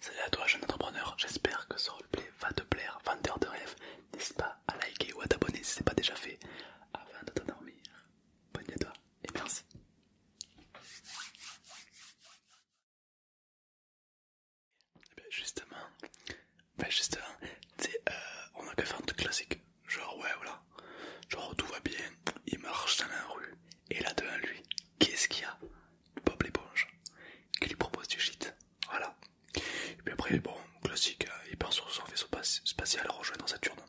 Salut à toi jeune entrepreneur, j'espère que ce replay va te plaire, vendeur de rêve, n'hésite pas à liker ou à t'abonner si c'est n'est pas déjà fait avant de t'endormir. Bonne nuit à toi et merci. Et eh bien justement, ben, euh, on a que faire un truc classique, genre ouais voilà, genre tout va bien, il marche dans la rue et là devant lui, qu'est-ce qu'il y a Bob l'éponge qui lui propose du shit. Voilà. Et puis après, bon, classique, euh, il part sur son vaisseau spatial rejoint dans Saturne.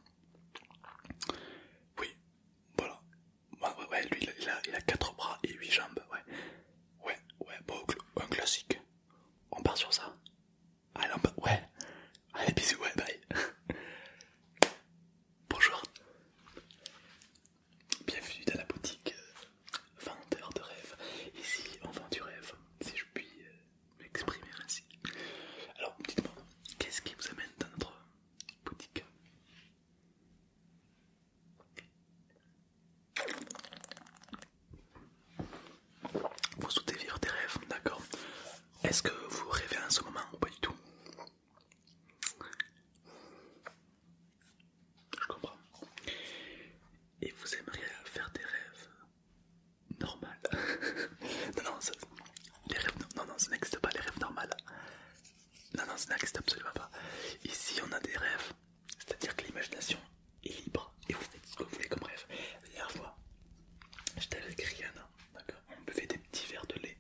Oui, voilà. Ouais, lui il a, il a 4 bras et 8 jambes. Ouais, ouais, ouais, bon, un classique. On part sur ça. Allez, on part, ouais. Allez, bisous, ouais, bye. Bonjour. Bienvenue dans la boutique euh, Vendeur de rêves. Ici, on vend du rêve, si je puis euh, m'exprimer ainsi. Alors, dites-moi, qu'est-ce qui vous amène dans notre boutique Vous souhaitez vivre des rêves, d'accord Est-ce que vous rêvez en ce moment ou pas du tout je comprends. Et vous aimeriez faire des rêves normaux Non, non, ça, rêves, non, non, n'existe pas, les rêves normaux. Non, non, ça n'existe absolument pas. Ici, on a des rêves, c'est-à-dire que l'imagination est libre et vous faites ce que vous voulez comme rêve. La dernière fois, j'étais avec Rihanna, d'accord On buvait des petits verres de lait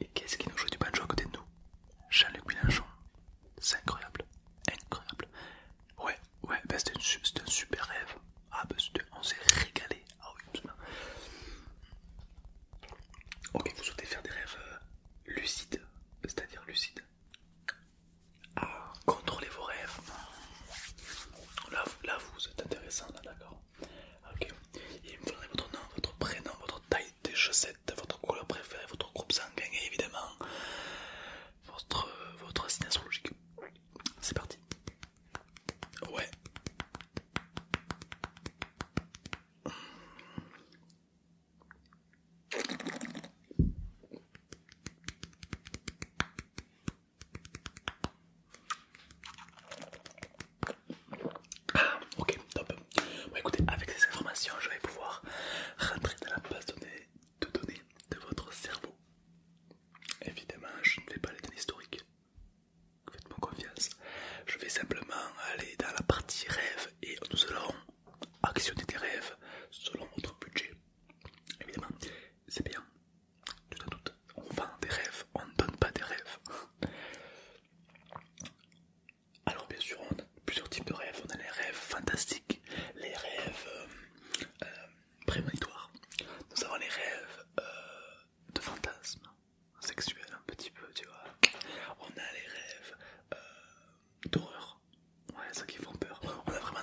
et qu'est-ce qui nous joue du banjo à côté de nous Jean-Luc Mélenchon. C'est incroyable. Incroyable. Ouais, ouais, ben c'était un, super rêve. Ah bah on s'est régalé. Ah oui, Ok, vous souhaitez faire des rêves euh, lucides, c'est-à-dire lucides. Ah, contrôlez vos rêves. Là, vous êtes intéressant, d'accord. Ok. Il me faudrait votre nom, votre prénom, votre taille des chaussettes votre couleur préférée, votre groupe sanguin et évidemment votre, euh, votre signe astrologique. C'est parti. Ouais. Ah, ok, top. écoutez, avec ces informations, je vais pouvoir rentrer dans la base de données de votre cerveau. Évidemment, je ne vais pas aller dans historiques Faites-moi confiance. Je vais simplement aller dans la partie rêve et nous allons actionner des rêves selon votre budget. Évidemment, c'est bien. Tout à on vend des rêves, on ne donne pas des rêves. Alors bien sûr, on a plusieurs types de rêves. On a les rêves fantastiques, les rêves euh, euh, prémonitoires. Nous avons les rêves euh, de fantasmes sexuels un petit peu, tu vois. On a les rêves d'horreur, ouais, ça qui font peur. On a vraiment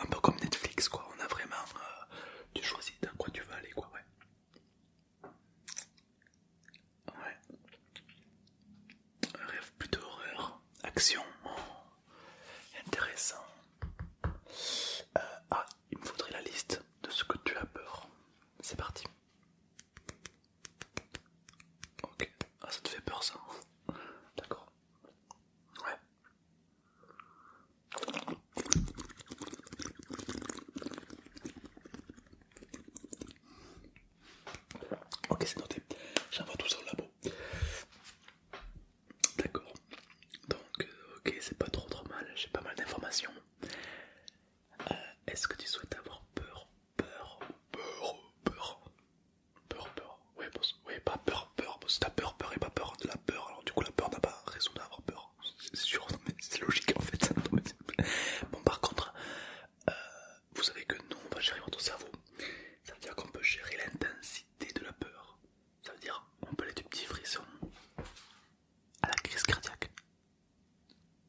un peu comme Netflix, quoi. On a vraiment, tu choisis dans quoi tu veux aller, quoi, ouais. Ouais. rêve plutôt horreur. Action. Intéressant. Euh, ah, il me faudrait la liste de ce que tu as peur. C'est parti. Ok. Ah, ça te fait peur ça. D'accord. Ouais. Ok, c'est noté. J'envoie tout ça au labo. D'accord. Donc, euh, ok, c'est pas trop trop mal. J'ai pas mal d'informations. Euh, est-ce que tu souhaites avoir peur Peur Peur Peur Peur Peur Ouais, Ouais, pas peur, peur. parce Si t'as peur, peur et pas peur de la peur, alors du coup la peur n'a pas raison d'avoir peur c'est sûr, c'est logique en fait. bon, par contre, euh, vous savez que nous on va gérer votre cerveau, ça veut dire qu'on peut gérer l'intensité de la peur, ça veut dire on peut aller du petit frisson à la crise cardiaque.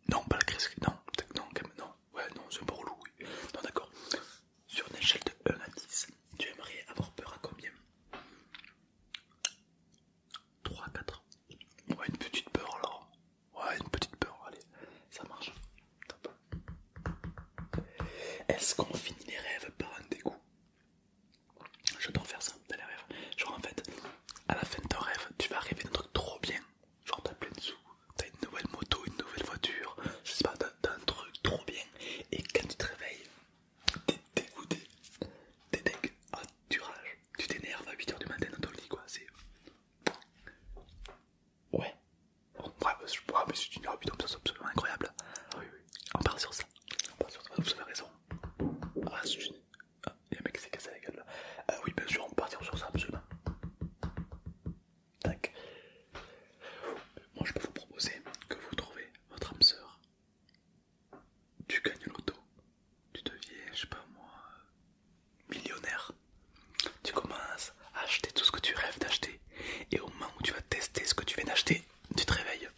Non, pas la crise, non, non, quand même, non, ouais, non, c'est un peu Non, d'accord, sur une échelle de 1 à 10, tu aimerais avoir peur à combien 3-4 Ouais, une petite peur alors. Ouais, une petite peur, allez, ça marche. Est-ce qu'on finit les rêves par un dégoût J'adore faire ça les rêves. Genre en fait, à la fin de ton rêve, tu vas rêver d'un truc trop bien. Genre t'as plein de sous, t'as une nouvelle moto, une nouvelle voiture, je sais pas, t'as truc trop bien. Et quand tu te réveilles, t'es dégoûté, t'es ah, tu rages, tu t'énerves à 8h du matin dans ton lit, quoi. C'est. Ouais. Ouais, mais, je... ouais, mais si c'est absolument incroyable. Oui, oui. On part sur ça. On part sur ça, vous avez raison. Ah, c'est une. Ah, il y a un mec qui s'est cassé la gueule ah oui, bien sûr, on partir sur ça, absolument. Tac. Moi, je peux vous proposer que vous trouvez votre âme sœur tu gagnes l'auto, tu deviens, je sais pas moi, millionnaire. Tu commences à acheter tout ce que tu rêves d'acheter, et au moment où tu vas tester ce que tu viens d'acheter, tu te réveilles.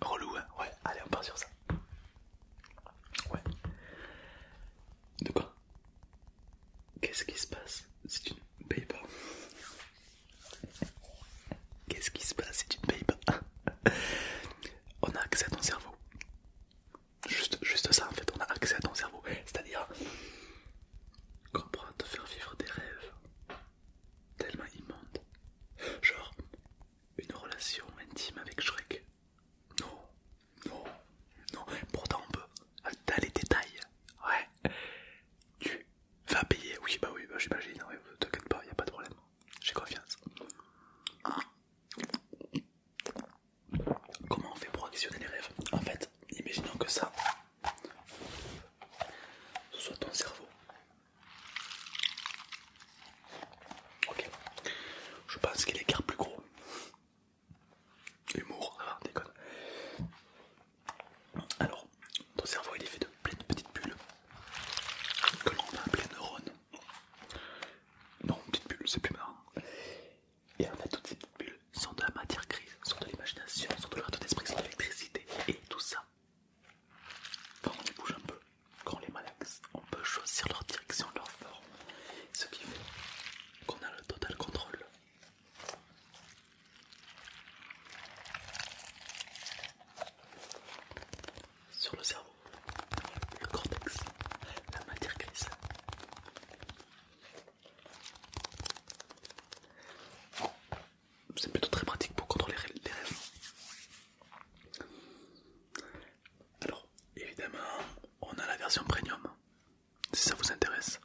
Relou, hein Ouais, allez, on part sur ça. Ouais. De quoi Qu'est-ce qui se passe si tu ne payes pas Qu'est-ce qui se passe si tu ne payes pas on a accès à ton cerveau. Juste, ça en fait, on a accès à ton cerveau. C'est-à-dire qu'on te faire vivre des rêves tellement immondes. Genre une relation intime avec Shrek. Non, non, non. Pourtant on peut. T'as les détails. Ouais. Tu vas payer. Oui, bah oui, bah j'imagine. T'inquiète pas, y a pas de problème j'ai confiance. Comment on fait pour actionner les rêves En fait, imaginons que ça, soit ton cerveau. Ok, je pense qu'il est car plus gros. Humour, ah, déconne. Alors, ton cerveau il est fait de plein de petites bulles que l'on de neurones. Non, une petite bulle, c'est plus marrant. Et en fait, toutes ces petites bulles sont de la matière grise, sont de l'imagination, sont de l'art d'esprit, sont de l'électricité. Et tout ça, quand on les bouge un peu, quand on les malaxe, on peut choisir leur direction, leur forme. Ce qui fait qu'on a le total contrôle sur le cerveau, le cortex, la matière grise. C'est plutôt très pratique pour contrôler les rêves. Alors, évidemment, on a la version premium. Si ça vous intéresse,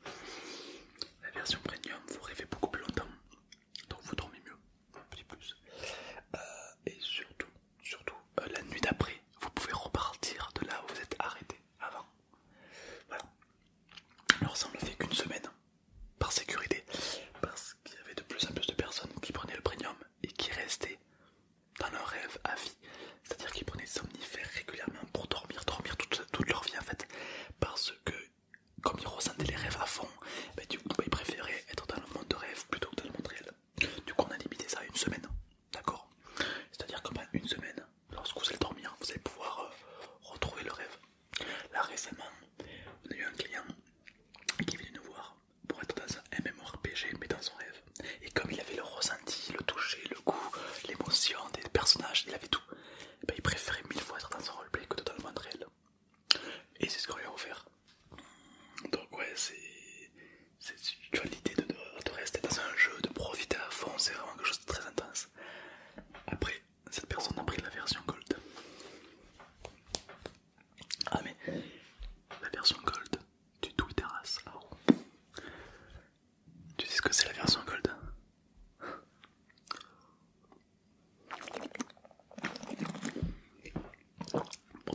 la version premium, vous rêvez beaucoup plus longtemps donc vous dormez mieux, un petit plus. Euh, et surtout, euh, la nuit d'après, vous pouvez repartir de là où vous êtes arrêté avant. Voilà. Alors ça on fait qu'une semaine, hein, par sécurité, parce qu'il y avait de plus en plus de personnes qui prenaient le premium et qui restaient dans leur rêve à vie. C'est-à-dire qu'ils prenaient des somnifères régulièrement pour dormir, dormir toute, toute leur vie en fait, parce que comme ils ressentaient les rêves à fond, bah, du coup bah, il préférait être dans le monde de rêve plutôt que dans le monde réel. Du coup on a limité ça à une semaine, d'accord C'est-à-dire qu'en une semaine, lorsque vous allez dormir, vous allez pouvoir euh, retrouver le rêve. Là récemment, on a eu un client qui est venu nous voir pour être dans un MMORPG mais dans son rêve. Et comme il avait le ressenti, le toucher, le goût, l'émotion des personnages, il avait tout, bah, il préférait mille fois être dans son roleplay que dans le monde réel. Et c'est ce qu'on lui a offert. Donc ouais, c'est... Tu vois l'idée de, rester dans un jeu, de profiter à fond, c'est vraiment quelque chose de très intense. Après, cette personne a pris la version Gold. Ah mais, la version Gold du Twitter As. Ah tu sais ce que c'est la version Gold pour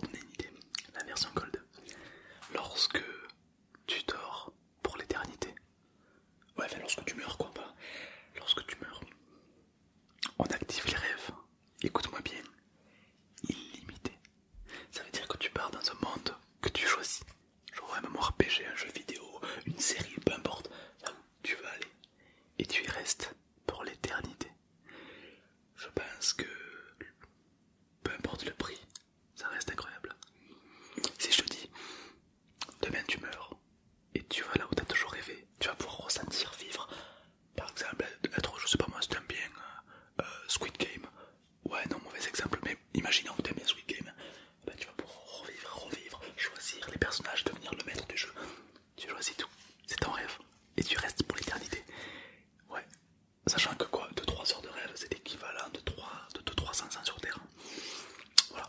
donner une idée, la version cold. lorsque tu dors pour l'éternité, ouais, lorsque tu meurs, quoi, pas. Lorsque tu meurs, on active les rêves, écoute-moi bien, illimité. Ça veut dire que tu pars dans un monde que tu choisis, genre un MMORPG, un jeu vidéo, une série, peu importe, tu vas aller, et tu y restes pour l'éternité. Je pense que peu importe le prix, ça reste incroyable. Si je te dis, demain tu meurs et tu vas là où t'as toujours rêvé, tu vas pouvoir ressentir, vivre, par exemple, être, je sais pas moi, c'est un bien euh, euh, Squid Game. Ouais, non, mauvais exemple, mais imaginons que tu aimes bien Squid Game. Ben, tu vas pouvoir revivre, revivre, choisir les personnages, devenir le maître du jeu tu choisis tout, c'est ton rêve, et tu restes pour l'éternité. Ouais, sachant que quoi, 2-3 heures de rêve, c'est l'équivalent de 3 de 2, 300 ans sur Terre. Voilà.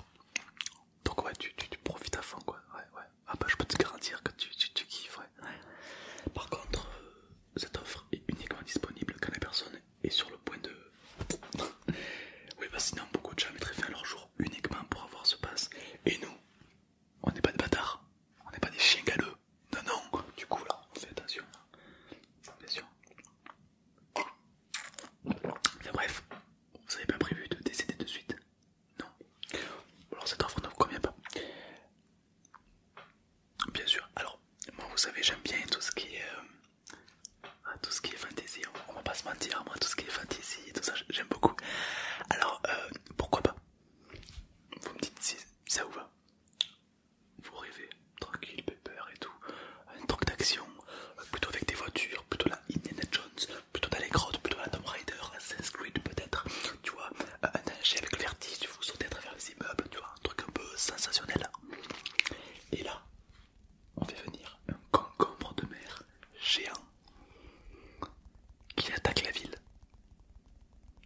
Donc ouais, tu, profites à fond quoi. Ouais, ouais. Ah bah je peux te garantir que tu, tu, ouais. Par contre, euh, cette offre est uniquement disponible quand la personne est sur le point de... oui bah, sinon beaucoup de gens mettraient fin à leur jour uniquement pour avoir ce passe. Et nous, on n'est pas des bâtards, on n'est pas des chiens galeux. Non, non, du coup là, on attention. Attention. bref, vous avez pas prévu de décéder de suite Non. Alors cette offre ne vous convient pas. Bien sûr, alors, moi vous savez, j'aime bien tout ce qui est... Euh, ah, tout ce qui est fantasy, on, va pas se mentir, moi tout ce qui est fantasy et tout ça, j'aime beaucoup. Alors, euh, pourquoi pas Vous me dites si ça vous va. Vous rêvez, tranquille, peur et tout. Un truc d'action, plutôt avec des voitures, plutôt la Indiana Jones, plutôt dans les grottes, plutôt la Tomb Raider, Assassin's Creed peut-être, tu vois, un avec le vertige, vous sautez à travers les immeubles, tu vois, un truc un peu sensationnel. Et là, on fait venir un concombre de mer géant qui attaque la ville.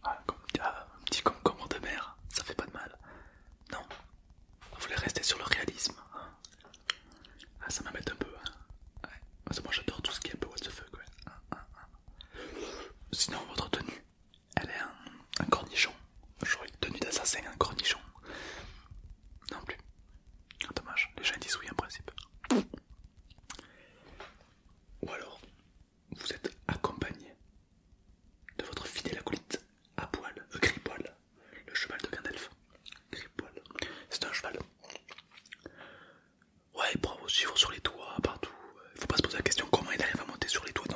Ah, ah, un petit concombre de mer, ça fait pas de mal. Non, vous voulez rester sur le réalisme. Hein. Ah, ça m'embête un peu. Hein. moi j'adore tout ce qui est un peu what the fuck. Ah, Sinon, votre tenue, elle est un, cornichon. J'aurais une tenue d'assassin, un cornichon. Non plus. dommage, les gens disent oui en principe. Ou alors, vous êtes accompagné de votre fidèle acolyte à poil, le cheval de Gandalf. c'est un cheval. Ouais, vous suivre sur les toits, partout. Il faut pas se poser la question comment il arrive à monter sur les toits.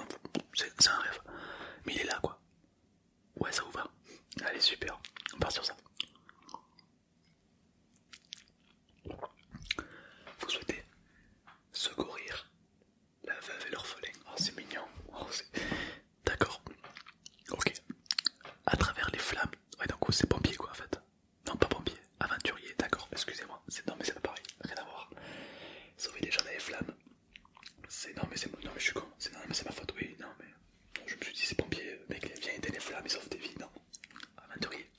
C'est un rêve. Mais il est là, quoi. Ouais, ça vous va Allez, super, on part sur ça. Vous souhaitez secourir la veuve et l'orphelin. Oh, c'est mignon. Oh, D'accord. Ok. À travers les flammes. Ouais, donc c'est pompier quoi en fait. Non, pas pompier, aventurier. D'accord. Excusez-moi. Non, mais c'est pas pareil. Rien à voir. Sauver les gens dans les flammes. C'est non, mais c'est non, mais je suis con. C'est non, mais c'est ma faute. Oui, non, mais je me suis dit, c'est pompier mec, viens éteindre les flammes, ils des vies, non Aventurier.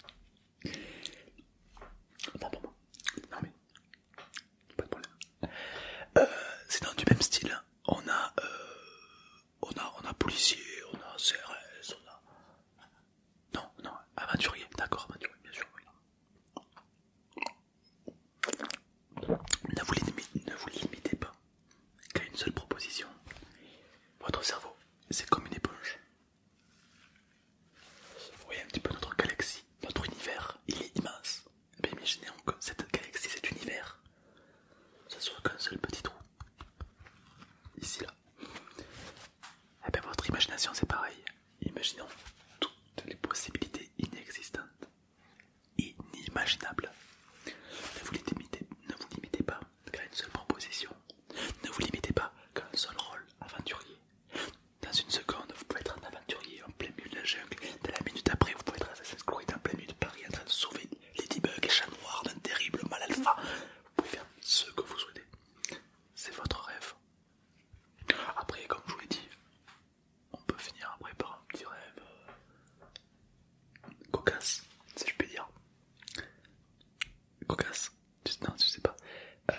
Attends pour moi. Non mais, pas de problème. Euh, c'est dans du même style. Hein. On a, euh, on a, on a policier, on a CRS, on a. Non, non, aventurier, d'accord, aventurier, bien sûr. Oui. vous, ne vous limitez pas qu'à une seule proposition. Votre cerveau, c'est comme une éponge. Vous voyez un petit peu notre galaxie, notre univers, il est immense. Mais imaginez que cette galaxie, cet univers, ce soit qu'un seul petit trou. Ici, là. Et eh bien votre imagination, c'est pareil. Imaginons toutes les possibilités inexistantes, inimaginables. ne vous limitez pas une seule proposition. Ne vous limitez pas qu'à un seul rôle aventurier. Dans une seconde, vous pouvez être un aventurier en plein milieu de la jungle. Dans la minute après, vous pouvez être Assassin's Creed en plein milieu de Paris en train de sauver Ladybug et Chat Noir d'un terrible mal alpha. Vous pouvez faire ce que vous souhaitez. C'est votre rêve. Après, comme je vous l'ai dit, on peut finir après par un petit rêve euh, cocasse, si je peux dire. Cocasse, non, tu sais pas. Euh,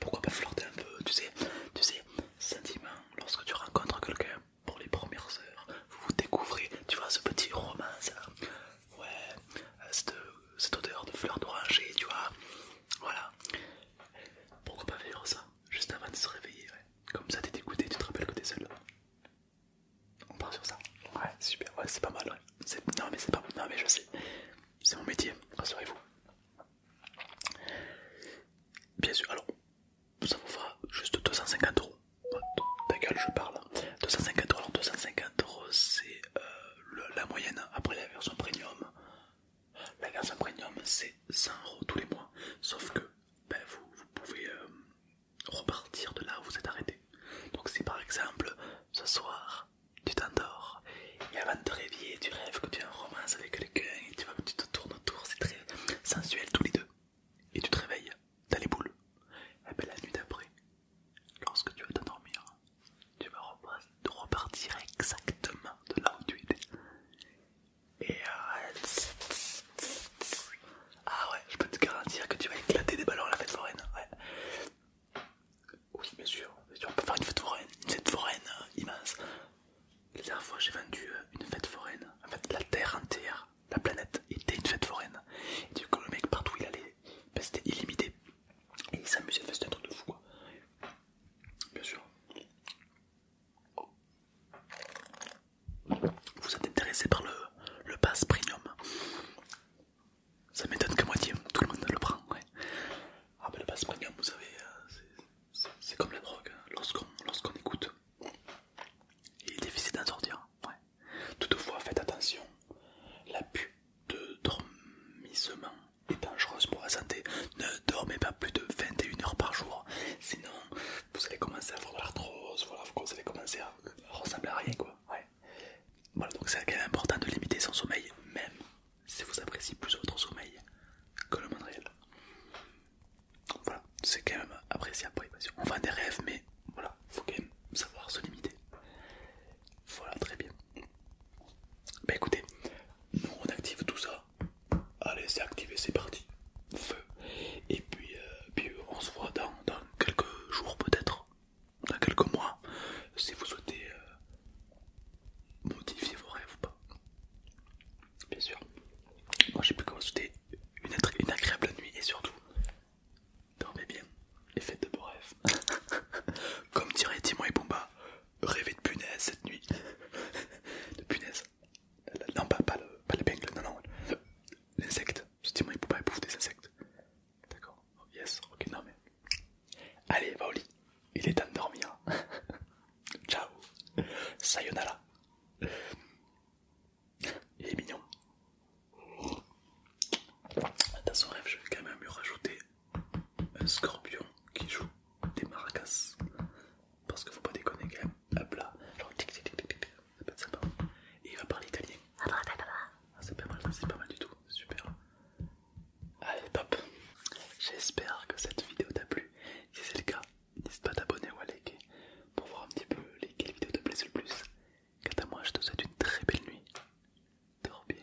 pourquoi pas flirter un peu, tu sais, tu sais, sentiment, lorsque tu rencontres quelqu'un pour les premières heures, vous vous découvrez, tu vois, ce petit roman, ça, euh, Ouais, euh, cette, cette odeur de fleurs d'oranger, tu vois. Voilà. Pourquoi pas vivre ça juste avant de se réveiller. Comme ça, t'es dégoûté, tu te rappelles que t'es seul. On part sur ça. Ouais, super. Ouais, c'est pas mal. Non, mais c'est pas mal. Non, mais je sais. C'est mon métier, rassurez-vous. Bien sûr, alors, ça vous fera juste 250 euros. Oh, ta gueule, je parle. 250 euros, 250 c'est euh, la moyenne. Après la version premium, la version premium, c'est 100 euros tous les mois. Sauf que ben vous, pouvez euh, repartir de là où vous êtes arrêté. Donc si par exemple ce soir tu t'endors et avant de te réveiller tu rêves que tu as en romance avec quelqu'un et tu vois que tu te tournes autour, c'est très sensuel tous les deux, et tu te réveilles, t'as les boules, et eh ben la nuit d'après, lorsque tu vas t'endormir, tu vas repartir exactement de là où tu étais. Et euh, Ah ouais, je peux te garantir que tu vas éclater des ballons à la fête foraine. Ouais. Oui, bien sûr, on peut faire une fête foraine, une fête foraine euh, immense. La dernière fois, j'ai vendu euh, une fête foraine. En fait, la terre entière, la planète était une fête foraine. Et du coup, le mec, partout il allait, ben, c'était illimité. Et il s'amusait, faire un truc de fou Bien sûr. Vous êtes intéressé par le, le premium Ça m'étonne que moitié, tout le monde le prend. Ah le premium, vous savez, euh, c'est comme la drogue. Hein. Lorsqu'on lorsqu'on écoute, il est difficile d'en sortir. Toutefois, faites attention. la L'abus de dormissement est dangereuse pour la santé. Ne dormez pas plus de 21 heures par jour Sinon, vous allez commencer à avoir l'arthrose, voilà, vous allez commencer à ressembler à rien quoi. Voilà, donc c'est quand même important de limiter son sommeil, même si vous appréciez plus votre sommeil que le monde réel. Voilà, c'est quand même appréciable On vend des rêves, mais voilà, faut quand même savoir se limiter. Voilà, très bien. Bah écoutez, nous on active tout ça Allez, c'est activé, c'est parti. Feu. Et puis, euh, puis on se voit dans, dans quelques jours peut-être, dans quelques mois, si vous souhaitez euh, modifier vos rêves ou pas. Bien sûr. Moi, j'ai plus qu'à vous souhaiter une, agréable nuit et surtout, dormez bien et faites de beaux rêves. Comme dirait Timo et Pumba, rêver de punaise cette nuit. de punaise. Non, pas, pas l'épingle, non, non. L'insecte. justement il peut pas des insectes. D'accord. Oh, yes, ok, non mais... Allez, va au lit. Il est temps de dormir. Ciao. Sayonara. Il est mignon. Dans son rêve, je vais quand même lui rajouter un scorpion qui joue des maracas. Parce que faut pas déconner tic tic tic tic ça Et il va parler italien. Ah, pas mal, du tout, super. Allez, top. J'espère que cette vidéo t'a plu. Si c'est le cas, n'hésite pas à t'abonner ou à liker pour voir un petit peu lesquelles vidéos te plaisent le plus. Quant à moi, je te souhaite une très belle nuit. Dors bien.